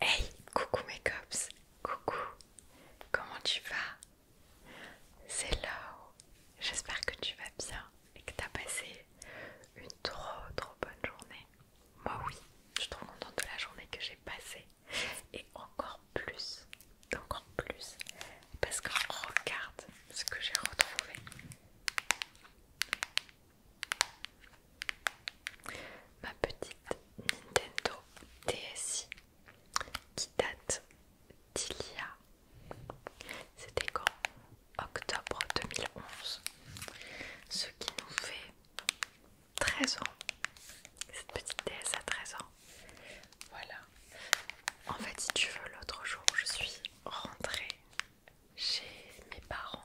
Hey, coucou mes cops, coucou, comment tu vas C'est Laure, j'espère que tu vas bien et que t'as passé une trop trop bonne journée. Moi oui, je suis trop contente de la journée que j'ai passée et encore plus, encore plus, parce que regarde ce que j'ai retrouvé ma petite Nintendo DSi qui date d'il y a, c'était quand Octobre 2011, ce qui nous fait 13 ans. Cette petite DS à 13 ans. Voilà. En fait, si tu veux, l'autre jour, je suis rentrée chez mes parents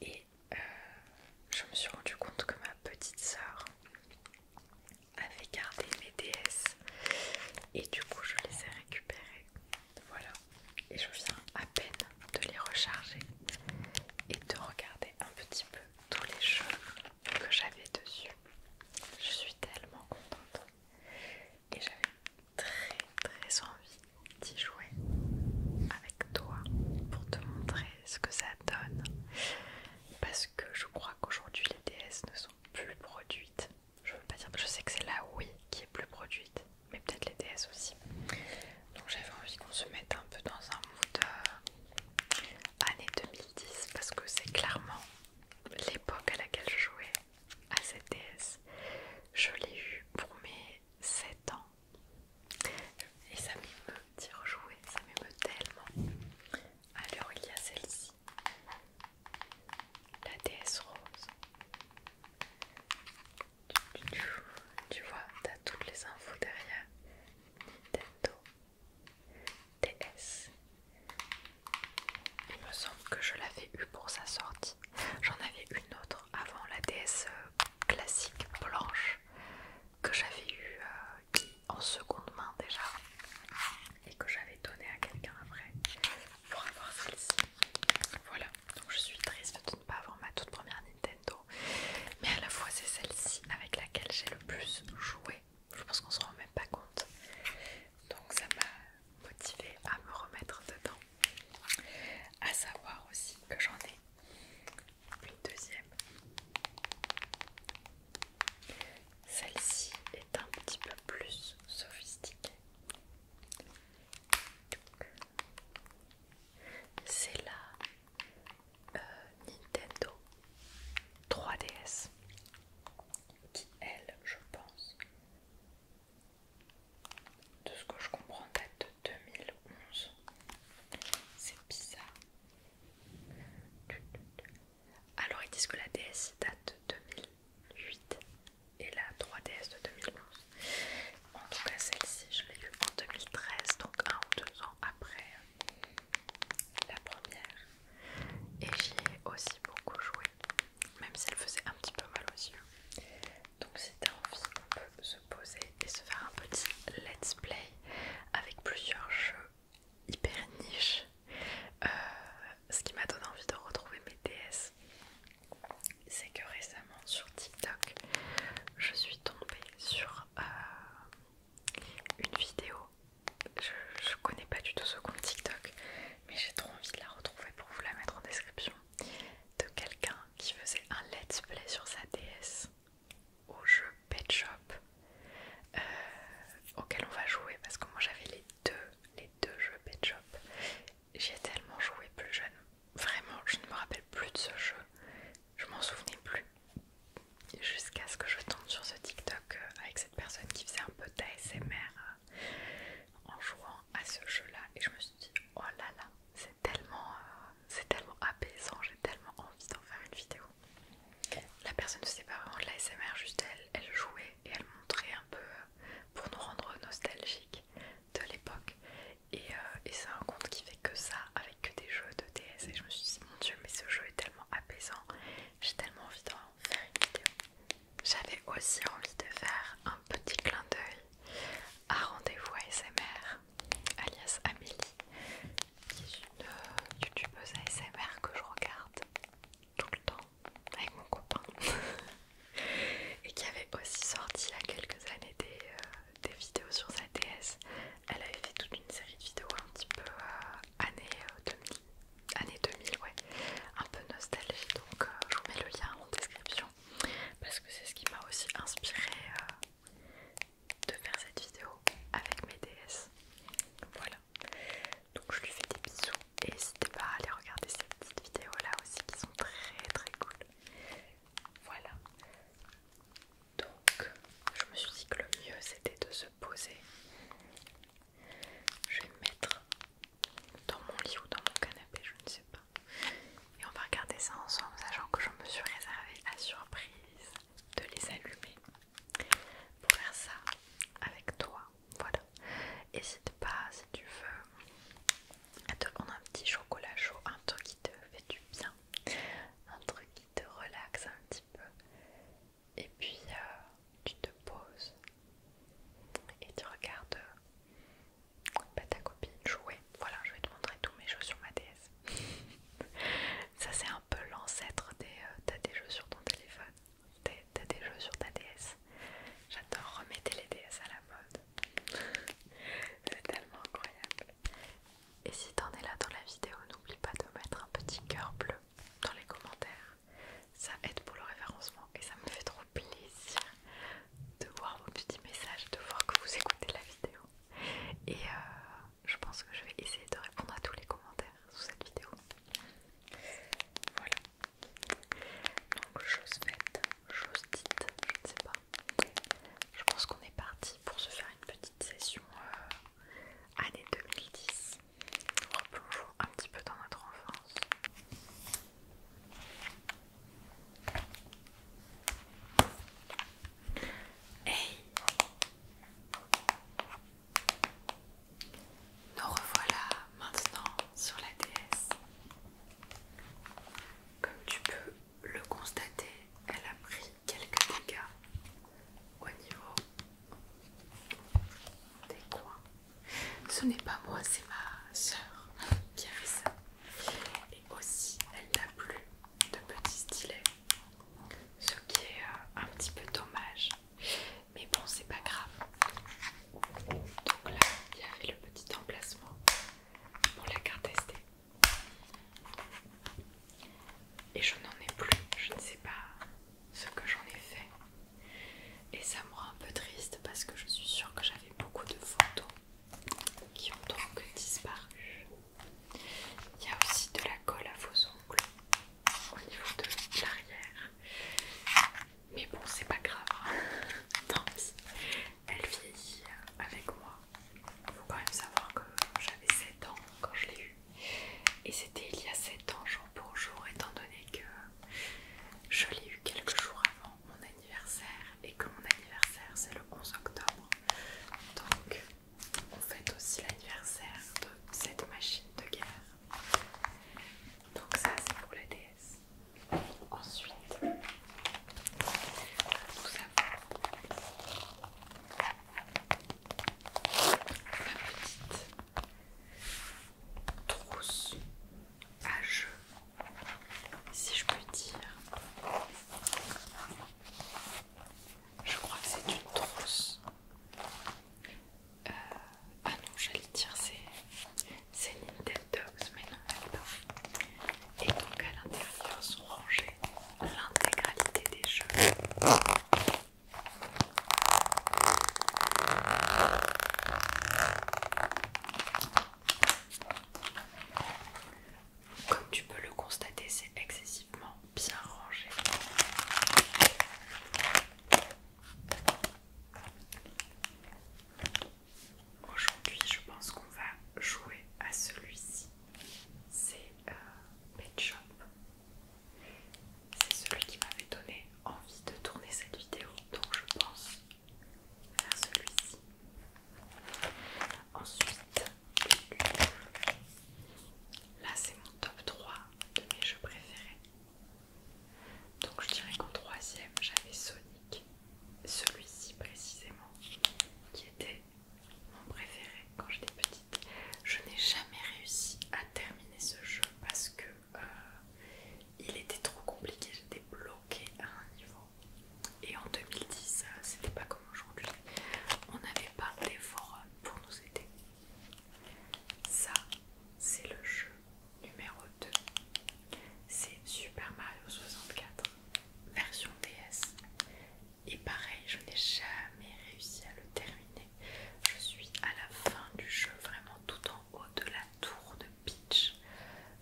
et euh, je me suis rendu compte que ma petite sœur avait gardé mes DS et du coup je les ai récupérées. Voilà. Et je viens à peine de les recharger et de regarder un petit peu tous les jeux que j'avais dessus. Je suis tellement contente. Et j'avais très très envie d'y jouer avec toi pour te montrer ce que ça donne parce que je crois qu'aujourd'hui les DS ne sont plus produites je veux pas dire je sais que c'est la Wii qui est plus produite mais peut-être les DS aussi donc j'avais envie qu'on se mette un peu dans un mood euh, année 2010 parce que c'est clairement l'époque à laquelle je jouais à cette DS je l'ai eu pour mes 7 ans et ça m'émeut d'y rejouer, ça m'émeut tellement. Alors il y a celle-ci, la déesse rose. Tu vois, t'as toutes les infos derrière. Nintendo, DS. Il me semble que je l'avais eu pour sa sortie. J'en avais une autre avant la DS euh, classique blanche que j'avais eu euh, en seconde main déjà et que j'avais donné à quelqu'un après pour avoir celle-ci. Voilà, donc je suis triste de ne pas avoir ma toute première Nintendo, mais à la fois c'est celle-ci avec laquelle j'ai le plus joué. Je pense qu'on se rend même pas compte. Donc ça m'a motivée à me remettre dedans. À savoir aussi que j'en ai une deuxième. Celle-ci est un petit peu plus sophistiquée. C'est la euh, Nintendo 3DS qui, elle, je pense, de ce que je comprends, date de 2011. C'est bizarre. Alors ils disent que la DS date de 2008 et la 3DS de 2011. En tout cas celle-ci je l'ai eue en 2013, donc un ou deux ans après la première. Et j'y ai aussi beaucoup joué, même si elle faisait un petit peu mal aux yeux. Donc si t'as envie, on peut se poser et se faire un petit let's play avec plusieurs jeux hyper niche. Euh, ce qui m'a donné envie de retrouver mes DS, c'est que récemment sur TikTok, je suis tombée sur euh, une vidéo. Je, je connais pas du tout ce compte TikTok, mais j'ai trop envie de la retrouver pour vous la mettre en description. De quelqu'un qui faisait un let's play sur sa DS au jeu Pet Shop euh, auquel on va jouer parce que moi j'avais les deux, les deux jeux Pet Shop. J'y ai tellement joué plus jeune. Vraiment, je ne me rappelle plus de ce jeu. Je m'en souvenais plus. Jusqu'à ce que je tombe sur ce TikTok euh, avec cette personne qui faisait un peu d'ASMR euh, en jouant à ce jeu-là. Et je me suis dit, oh là là, c'est c'est tellement, euh, tellement apaisant, j'ai tellement envie d'en faire une vidéo. La personne ne sait pas vraiment de l'ASMR, juste elle, elle jouait et elle montrait un peu euh, pour nous rendre nostalgiques de l'époque. Et, euh, c'est un compte qui fait que ça, avec que des jeux de DS. Et je me suis dit, mon dieu, mais ce jeu est tellement apaisant, j'ai tellement envie d'en faire une vidéo. J'avais aussi envie de faire un petit clin d'œil à rendez-vous ASMR alias Amélie, qui est une euh, youtubeuse ASMR que je regarde tout le temps avec mon copain et qui avait aussi sorti il y a quelques années des, euh, vidéos sur sa DS. Elle avait fait toute une série de vidéos un petit peu année euh, années, 2000, ouais, un peu nostalgie. Donc je vous mets le lien en description parce que c'est ce qui m'a aussi inspiré de faire cette vidéo avec mes DS. Voilà. Donc je lui fais des bisous et n'hésitez pas à aller regarder ces petites vidéos là aussi qui sont très très cool. Voilà. Donc je me suis dit que le mieux c'était de se poser. Je vais me mettre dans mon lit ou dans mon canapé, je ne sais pas. Et on va regarder ça ensemble, sachant que je me suis réservée à surprise de les allumer pour faire ça avec toi. Voilà. N'hésite pas si tu veux à te prendre un petit chocolat chaud, un truc qui te fait du bien, un truc qui te relaxe un petit peu. Et puis euh, tu te poses et tu regardes bah, ta copine jouer voilà, je vais te montrer tous mes jeux sur ma DS. Ça, c'est un peu l'ancêtre des. Euh, t'as des jeux sur ton téléphone. T'as des jeux sur ta DS. J'adore remettre les DS à la mode. c'est tellement incroyable. Et si t'en es là dans la vidéo, n'oublie pas de mettre un petit cœur bleu dans les commentaires. Ça aide pour le référencement et ça me fait trop plaisir de voir vos petits messages, de voir que vous écoutez la vidéo. Et euh, je pense que je vais essayer de répondre à tous les commentaires sous cette vidéo. Voilà. Donc chose faite, chose dite, je ne sais pas. Je pense qu'on est parti pour se faire une petite session euh, année 2010. Replongeons un petit peu dans notre enfance. Hey Nous revoilà maintenant sur la DS. Comme tu peux le constater, elle a pris quelques dégâts au niveau des coins. Ce n'est pas moi, c'est ma sœur qui a fait ça. Et aussi, elle n'a plus de petits stylets, ce qui est euh, un petit peu dommage, mais bon, c'est pas grave. Donc là, il y avait le petit emplacement pour la carte SD, et je n'en ai plus, je ne sais pas ce que j'en ai fait, et ça me rend un peu triste parce que je suis sûre que j'avais beaucoup de photos qui ont donc disparu. Il y a aussi de la colle à vos ongles au niveau de l'arrière. Mais bon, c'est pas grave. Hein. Elle vieillit avec moi. Il Faut quand même savoir que j'avais 7 ans quand je l'ai eue. Et c'était il y a 7 ans, jour pour jour, étant donné que je l'ai eue quelques jours avant mon anniversaire et que mon anniversaire c'est le 11 octobre. Donc vous faites aussi l'anniversaire de cette machine de guerre. Donc ça c'est pour la déesse. Ensuite, nous avons la petite trousse à jeux, si je puis dire. Je crois que c'est une trousse. Euh, ah non, j'allais dire c'est une Nintendogs, mais non, elle Et donc à l'intérieur sont rangées l'intégralité des jeux. Comme tu peux le constater, c'est excessivement bien rangé. Aujourd'hui, je pense qu'on va jouer à celui-ci. C'est euh, Pet Shop. C'est celui qui m'avait donné envie de tourner cette vidéo, donc je pense faire celui-ci. Ensuite, là c'est mon top 3 de mes jeux préférés. Donc je dirais qu'en troisième j'avais Sonic, celui-ci précisément, qui était mon préféré quand j'étais petite. Je n'ai jamais réussi à terminer ce jeu parce que euh, il était trop compliqué, j'étais bloquée à un niveau. Et en 2010, euh, c'était pas comme aujourd'hui, on n'avait pas des forums pour nous aider. Ça, c'est le jeu numéro 2. C'est Super Mario 64, version DS. Et pareil, je n'ai jamais réussi à le terminer. Je suis à la fin du jeu, vraiment tout en haut de la tour de Peach,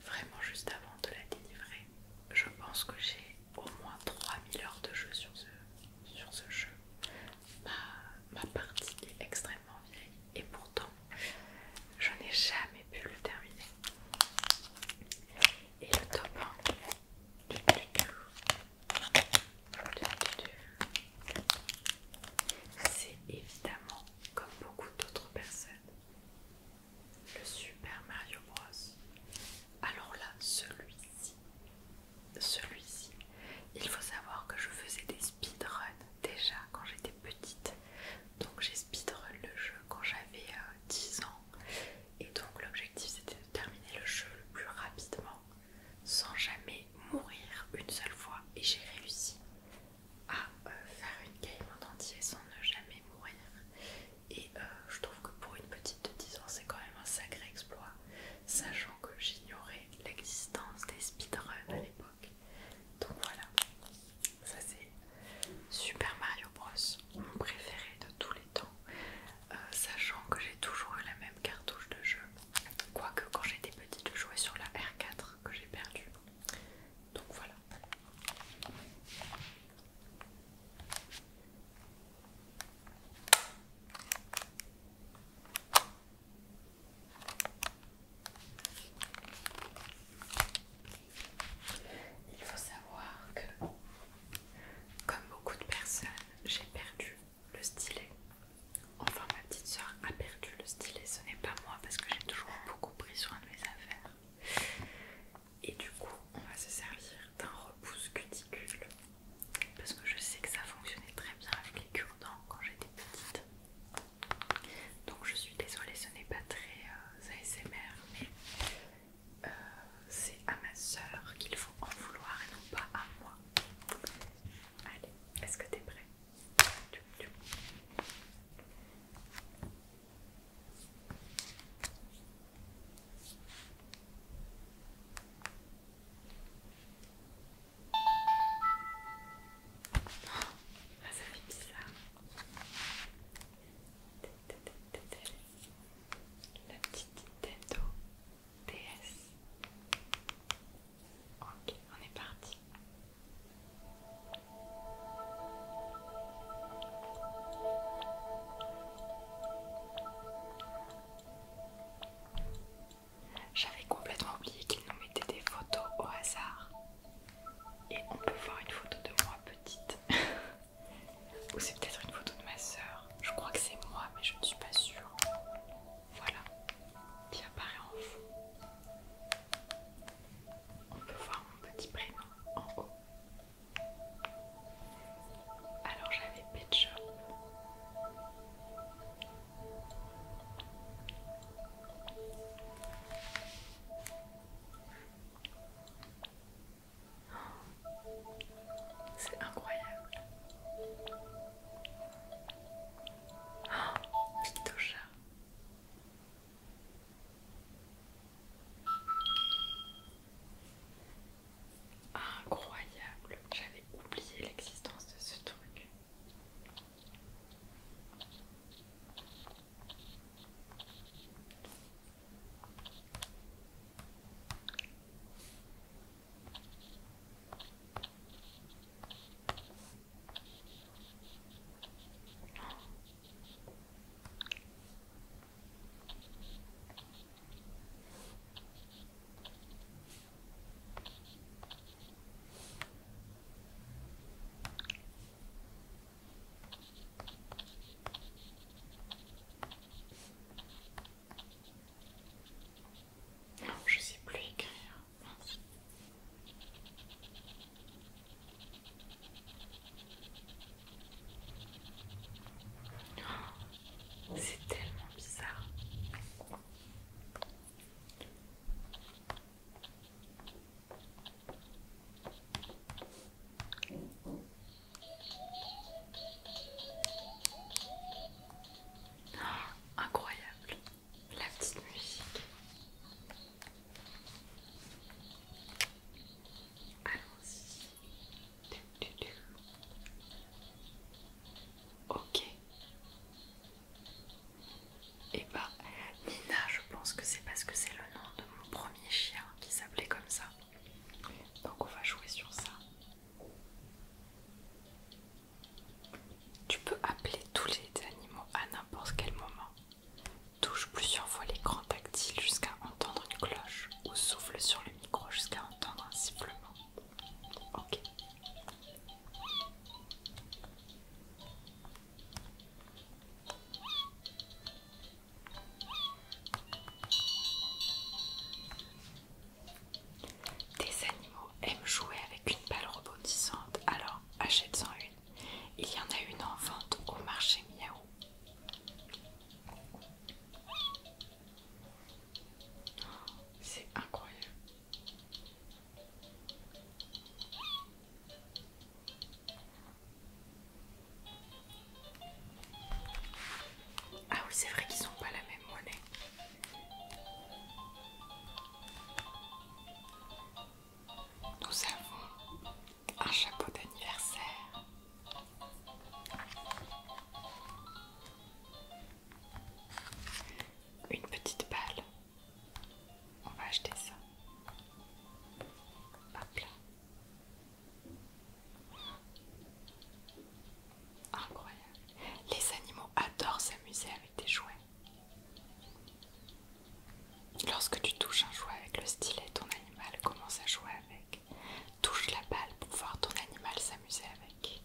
vraiment juste avant de la délivrer je pense que j'ai au moins 3000 heures de jeu sur ce, sur ce jeu. Ma, partie est extrêmement vieille et pourtant je n'ai jamais pu le terminer. Et le top 1 du, c'est évidemment, comme beaucoup d'autres personnes, le Super Mario Bros. Alors là, celui-ci, celui-ci, il faut savoir que je faisais des speedruns déjà quand j'étais petite. Donc j'ai speedrun le jeu quand j'avais 10 euh, ans. Et donc l'objectif c'était de terminer le jeu le plus rapidement, sans jamais mourir une seule fois. Et j'ai réussi à euh, faire une game en entier sans ne jamais mourir. Et euh, je trouve que pour une petite de 10 ans, c'est quand même un sacré exploit, sachant que j'ignorais l'existence des speedruns à l'époque. Donc voilà, ça c'est Super Mario Bros, mon préféré de tous les temps, euh, sachant que j'ai toujours eu la même cartouche de jeu. Quoique quand j'étais petite, je jouais sur la R4 que j'ai perdue. Donc voilà. Il faut savoir que, comme beaucoup de personnes, j'ai perdu le stylet. Enfin, ma petite soeur a perdu le stylet, ce n'est pas moi parce que j'ai toujours beaucoup pris soin de mes affaires. Et du coup, on va se servir d'un repousse cuticule parce que je sais que ça fonctionnait très bien avec les cure-dents quand j'étais petite. Donc je suis désolée, ce n'est pas très euh, ASMR, mais euh, c'est à ma sœur qu'il faut en vouloir et non pas à moi. Allez, est-ce que t'es prêt ah, ça fait bizarre. La petite Nintendo DS. Ok, on est parti. J'avais complètement oublié qu'ils nous mettaient des photos au hasard. Et on peut voir une photo de moi petite. Ou c'est peut-être une photo de ma sœur. Je crois que c'est moi, mais je ne suis pas sûre. Voilà, qui apparaît en fond. On peut voir mon petit prénom en haut. Alors j'avais Pet oh, C'est incroyable. Oh, Incroyable, j'avais oublié l'existence de ce truc je sais plus écrire. C'est tellement bizarre. Oh, incroyable la petite musique. Allons-y. Ok. Et eh bah, ben, Nina, je pense que c'est parce que c'est le nom de mon premier chien qui s'appelait comme ça. Donc on va jouer sur ça. Tu peux appeler tous les animaux à n'importe quel moment. Touche plusieurs fois l'écran tactile jusqu'à entendre une cloche ou souffle sur le micro jusqu'à entendre un sifflement. Ok. Des animaux aiment jouer avec une balle rebondissante, alors achète-en une. Il y en a une en vente au marché Miao. C'est incroyable. Ah oui, c'est vrai qu'ils sont pas la même monnaie. Nous avons un chapeau d'anniversaire. Une petite balle. On va acheter ça. Hop là. Incroyable. Les animaux adorent s'amuser avec des jouets. Lorsque tu touches un jouet avec le stylet, ton animal commence à jouer avec. Touche la balle pour voir ton animal s'amuser avec.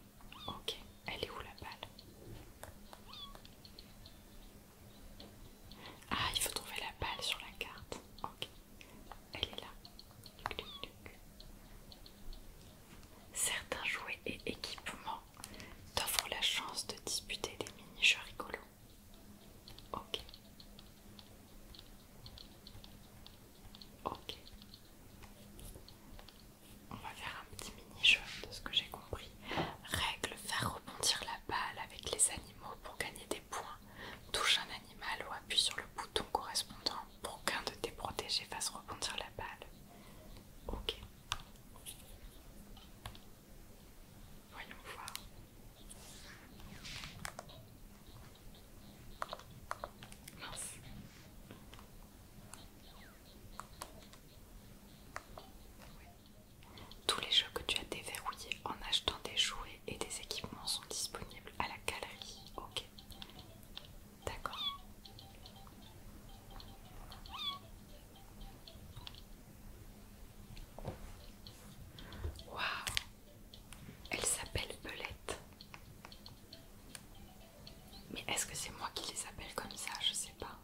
Ok, elle est où la balle Ah, il faut trouver la balle sur la carte. Ok, elle est là. Certains jouets et équipements t'offrent la chance de disputer des mini-jeux rigolos. Ok. Ok. On va faire un petit mini-jeu de ce que j'ai compris. Règle, faire rebondir la balle avec les animaux pour gagner des points. Touche un animal ou appuie sur le bouton correspondant pour qu'un de tes protégés fasse rebondir la balle. Ok. Voyons voir. Tous les jeux que tu as déverrouillés en achetant des jouets et des équipements sont disponibles à la galerie. Ok. D'accord. Waouh. Elle s'appelle Eulette mais est-ce que c'est moi qui les appelle comme ça Je sais pas.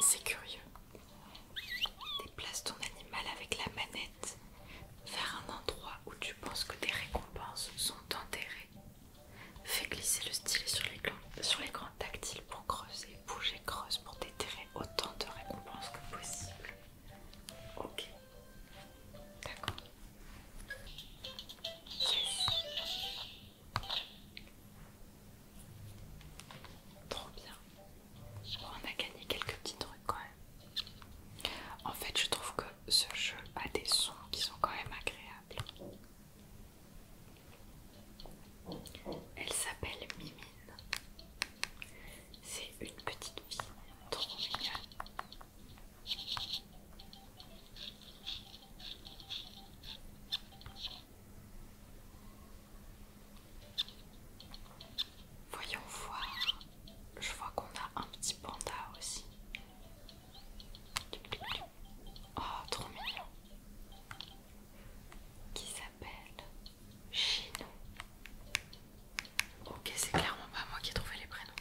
C'est curieux. Déplace ton animal avec la manette vers un endroit où tu penses que tes récompenses sont enterrées. Fais glisser le stylet sur les, tactile tactiles pour creuser, bouger, creuse pour déterrer autant de récompenses que possible. Ok. D'accord. Trop bien. on a gagné quelques petits trucs quand même. En fait, je trouve que ce jeu a des sons qui sont quand même agréables. Elle s'appelle Mimine. C'est une petite fille trop mignonne. Voyons voir. Je vois qu'on a un petit panda aussi. Oh, trop mignon. Qui s'appelle Chino. Ok, c'est clairement pas moi qui ai trouvé les prénoms.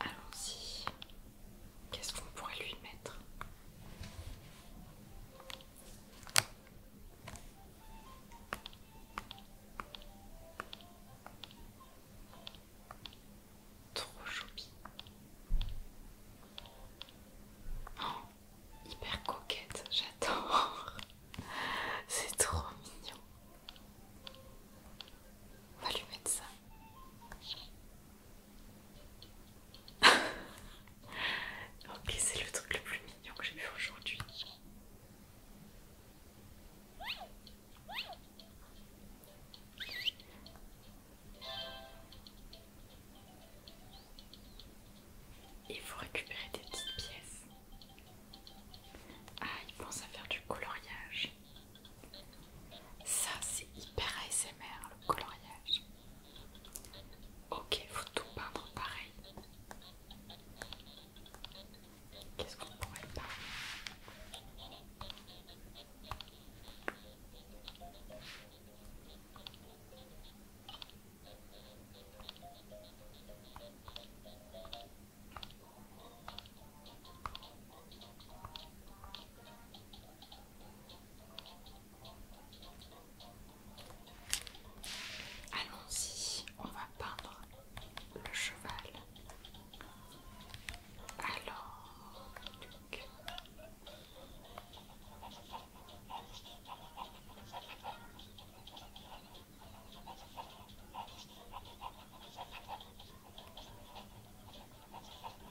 Allons-y. Qu'est-ce qu'on pourrait lui mettre Trop choupi. Oh, hyper coquette, j'adore. C'est trop mignon. On va lui mettre ça. ok, c'est le truc le plus mignon que j'ai vu aujourd'hui. Il faut récupérer des petites pièces. Ah, il pense à faire du coloriage. Ça, c'est hyper ASMR le coloriage. Ok, faut tout peindre pareil. Qu'est-ce qu'on pourrait peindre Allons-y, on va peindre le cheval. Alors,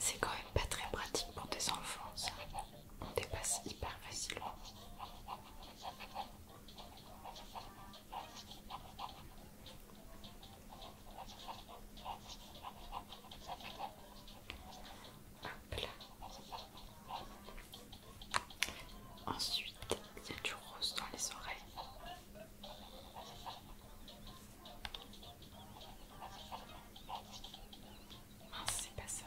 C'est quand même pas très pratique pour tes enfants, ça. On dépasse hyper facilement. Hop là. Ensuite, il y a du rose dans les oreilles. Ah c'est pas ça.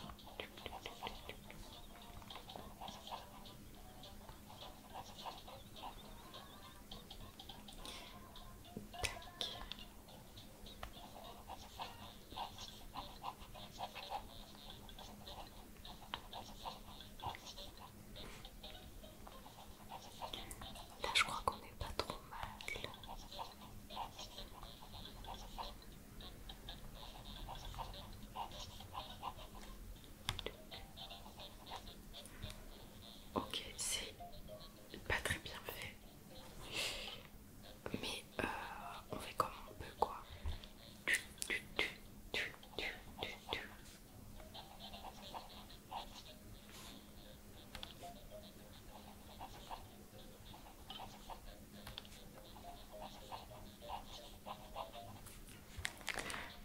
Là, je crois qu'on n'est pas trop mal. Ok, c'est pas très bien fait, mais euh, on fait comme on peut, quoi.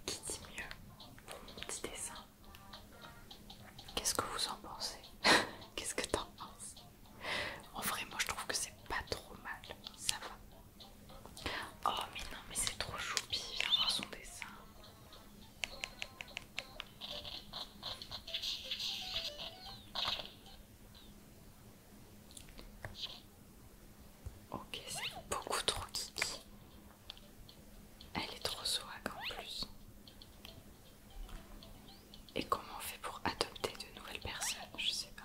Qui dit mieux pour mon petit dessin Qu'est-ce que vous en pensez Qu'est-ce que t'en penses En vrai, moi je trouve que c'est pas trop mal, ça va. Oh, mais non, mais c'est trop choupi, viens voir son dessin. Ok, c'est beaucoup trop kiki. Elle est trop swag en plus. Et comment on fait pour adopter de nouvelles personnes Je sais pas.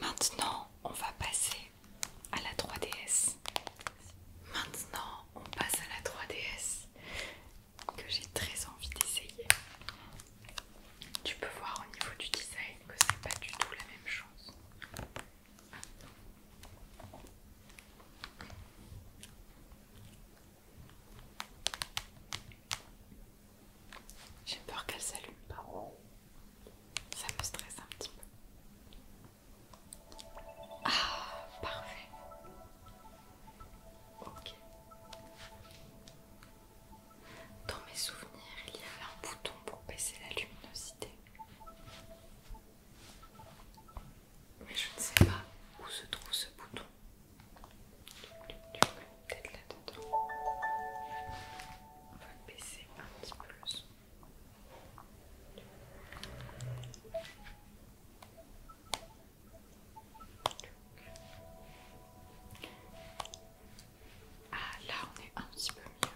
Maintenant, on va passer à la 3DS. Maintenant, on passe à la 3DS que j'ai très envie d'essayer. Tu peux voir au niveau du design que c'est pas du tout la même chose. J'ai peur qu'elle s'allume pas. Ça me stresse un petit peu. Ah, parfait. Ok. Dans mes souvenirs, il y avait un bouton pour baisser la luminosité. Mais je ne sais pas où se trouve ce bouton. Peut-être là-dedans. On va baisser un petit peu le son. Ah là on est un petit peu mieux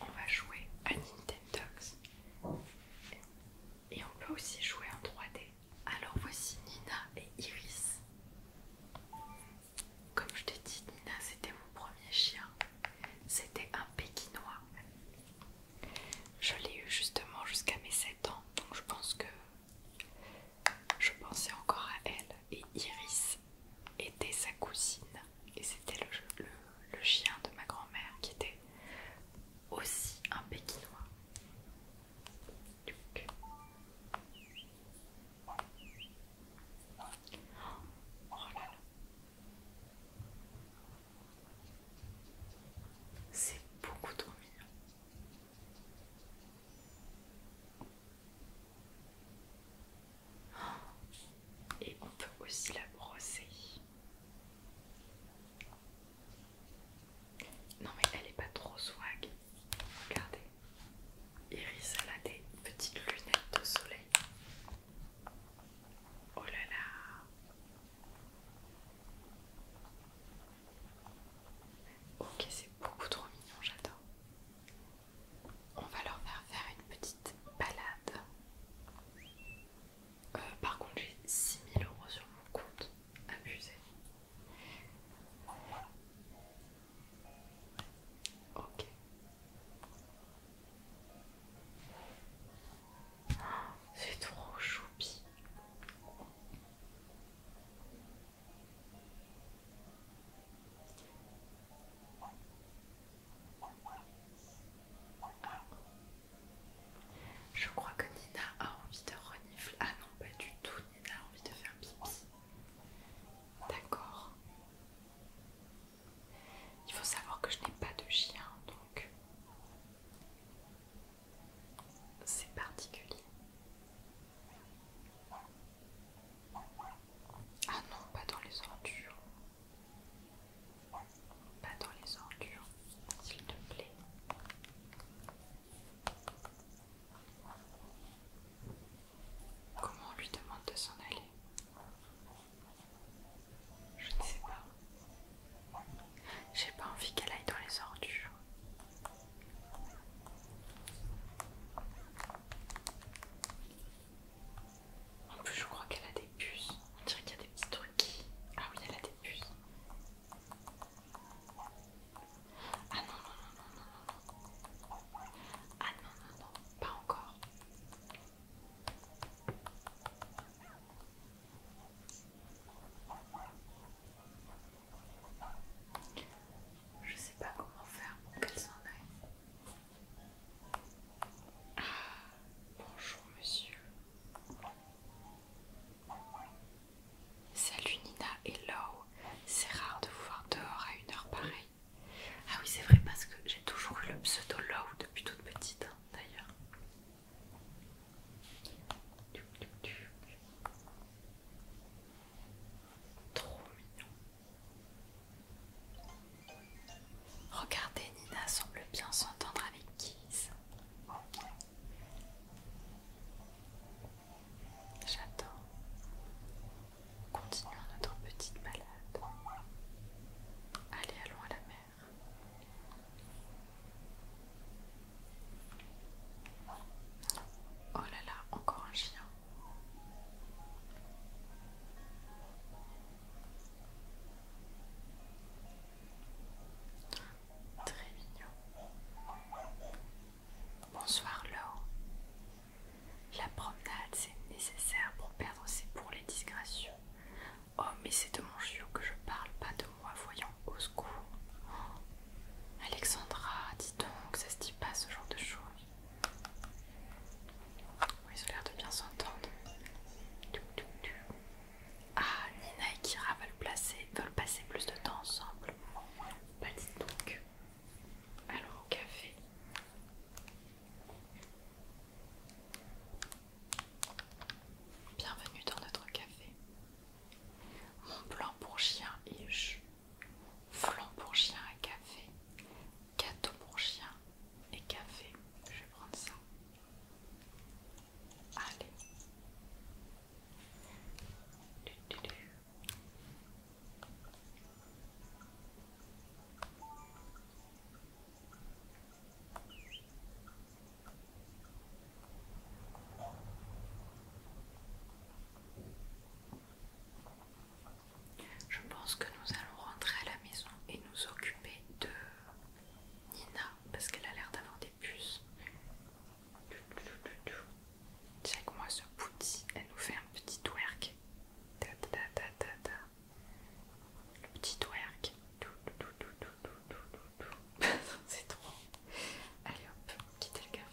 on va jouer à Nintendox et on peut aussi jouer en 3D. Alors voici Nina et Iris. Comme je t'ai dit, Nina c'était mon premier chien. C'était un pékinois. Je l'ai eu justement jusqu'à mes 7 ans. Donc je pense que je pensais encore à elle. Et Iris était sa cousine et c'était le, chien de ma grand-mère qui était aussi un pékinois. Oh C'est beaucoup trop mignon. Et on peut aussi la brosser. Non mais elle est pas trop swag. Regardez. Iris, elle a des petites lunettes de soleil. Oh là là. Ok, c'est beaucoup trop mignon, j'adore. On va leur faire faire une petite balade. Euh, par contre, j'ai 6000 euros sur mon compte. Abusé. Ok. C'est trop choupi. Je crois que Nina a envie de renifler. Ah non, pas du tout. Nina a envie de faire pipi. D'accord. Il faut savoir que je n'ai pas de chien, donc c'est particulier. Ah non, pas dans les ordures. Pas dans les ordures, s'il te plaît. Comment on lui demande de s'en aller Je ne sais pas. J'ai pas envie qu'elle aille dans les ordures. En plus, je crois qu'elle a des puces. On dirait qu'il y a des petits trucs. Ah oui, elle a des puces. Ah non, non, non, non, non, non. Ah non, non, non, pas encore. Je sais pas comment faire pour qu'elle s'en aille. Ah, bonjour monsieur. Salut Nina, et hello. C'est rare de vous voir dehors à une heure pareille. Ah oui c'est vrai parce que j'ai toujours eu le pseudo Low depuis toute petite hein, d'ailleurs. Trop mignon. Regardez, Nina semble bien s'entendre avec Kiz. J'attends. Continuons notre petite balade. Allez, allons à la mer. Oh là là, encore un chien. Très mignon. Bonsoir Laure. La promenade, c'est nécessaire pour perdre c'est pour les disgracieux. Oh, mais c'est de mon chiot que je parle, pas de moi, voyant au secours. Alexandra, dis donc, ça se dit pas ce genre de choses. Ils ont l'air de bien s'entendre. Ah, Nina et Kira veulent, veulent passer plus de temps ensemble. Bah dit donc. Alors au café. Bienvenue dans notre café. Mon plan pour chien et je. Flan pour chien et café. Gâteau pour chien et café. Je vais prendre ça. Allez. Je pense que nous allons rentrer à la maison et nous occuper de Nina, parce qu'elle a l'air d'avoir des puces. Check moi ce booty, elle nous fait un petit twerk. Le petit twerk. C'est trop. Allez hop, quittez le café.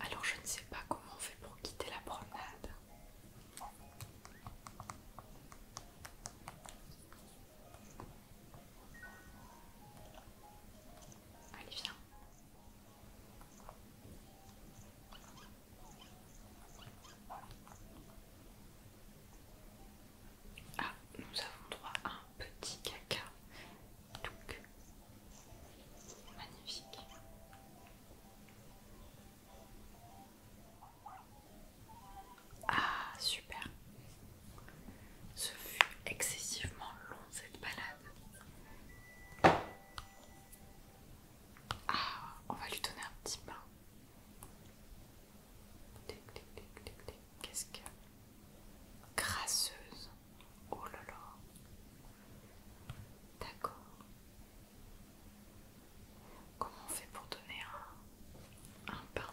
Alors je ne sais pas comment on fait pour quitter la promenade. Allez, viens. Ah, nous avons droit à un petit caca magnifique. Ah, super. Ce fut excessivement long cette balade. Ah, on va lui donner un petit bain. Qu'est-ce que grasseuse Oh là là. D'accord. Comment on fait pour donner un, un pain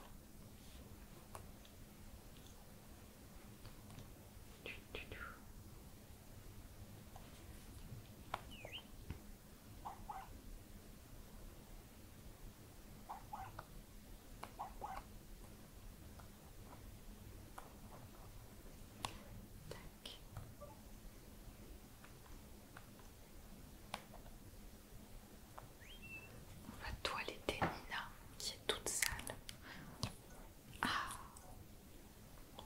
on va toiletter Nina qui est toute sale. Ah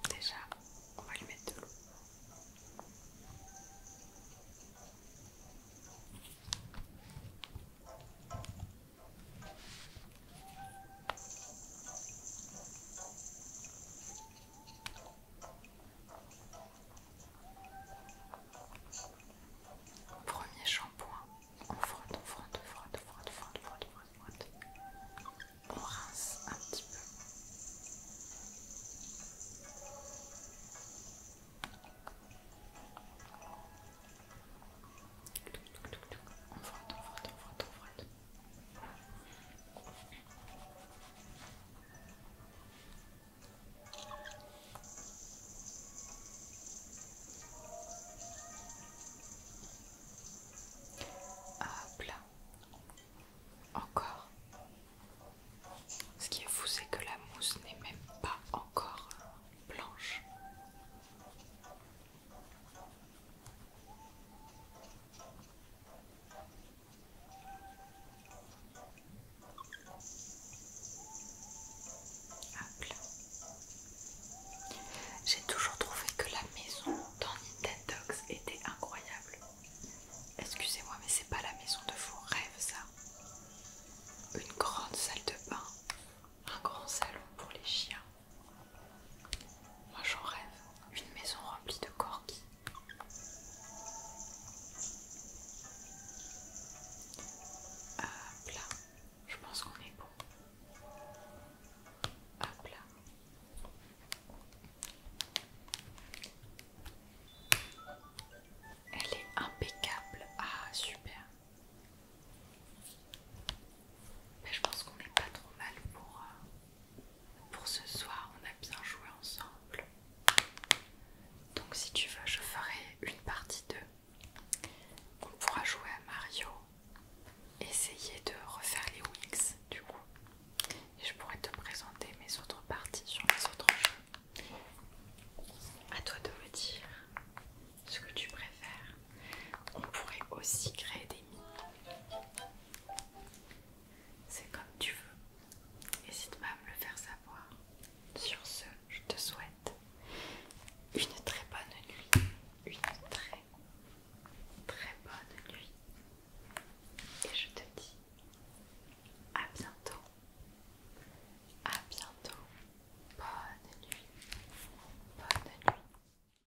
Déjà, on va lui mettre de l'eau. Premier shampoing, on frotte, on frotte, on frotte, on frotte, on frotte, on frotte, on rince un petit peu. On frotte, on frotte, on frotte, on frotte. Ah là. Encore. Ce qui est fou, c'est que la mousse n'est même pas encore blanche. J'ai toujours trouvé que la maison dans Nintendox était incroyable. Excusez-moi, mais c'est pas la maison de vos rêves, ça. Une grande salle de bain, un grand salon pour les chiens, moi j'en rêve, une maison remplie de corgis. Ah, hop là, je pense qu'on est bon. Ah là. Elle est impeccable. Ah super. Mais je pense qu'on n'est pas trop mal pour, euh, pour ce soir. On a bien joué ensemble. Donc si tu veux, je ferai une partie 2. On pourra jouer à Mario, essayer de refaire les Wings du coup. Et je pourrais te présenter mes autres parties sur les autres jeux. À toi de me dire ce que tu préfères. On pourrait aussi créer des mines. C'est comme tu veux. N'hésite pas à me le faire savoir. Sur ce, je te souhaite une très bonne nuit. Une très très bonne nuit. Et je te dis à bientôt. À bientôt. Bonne nuit. Bonne nuit.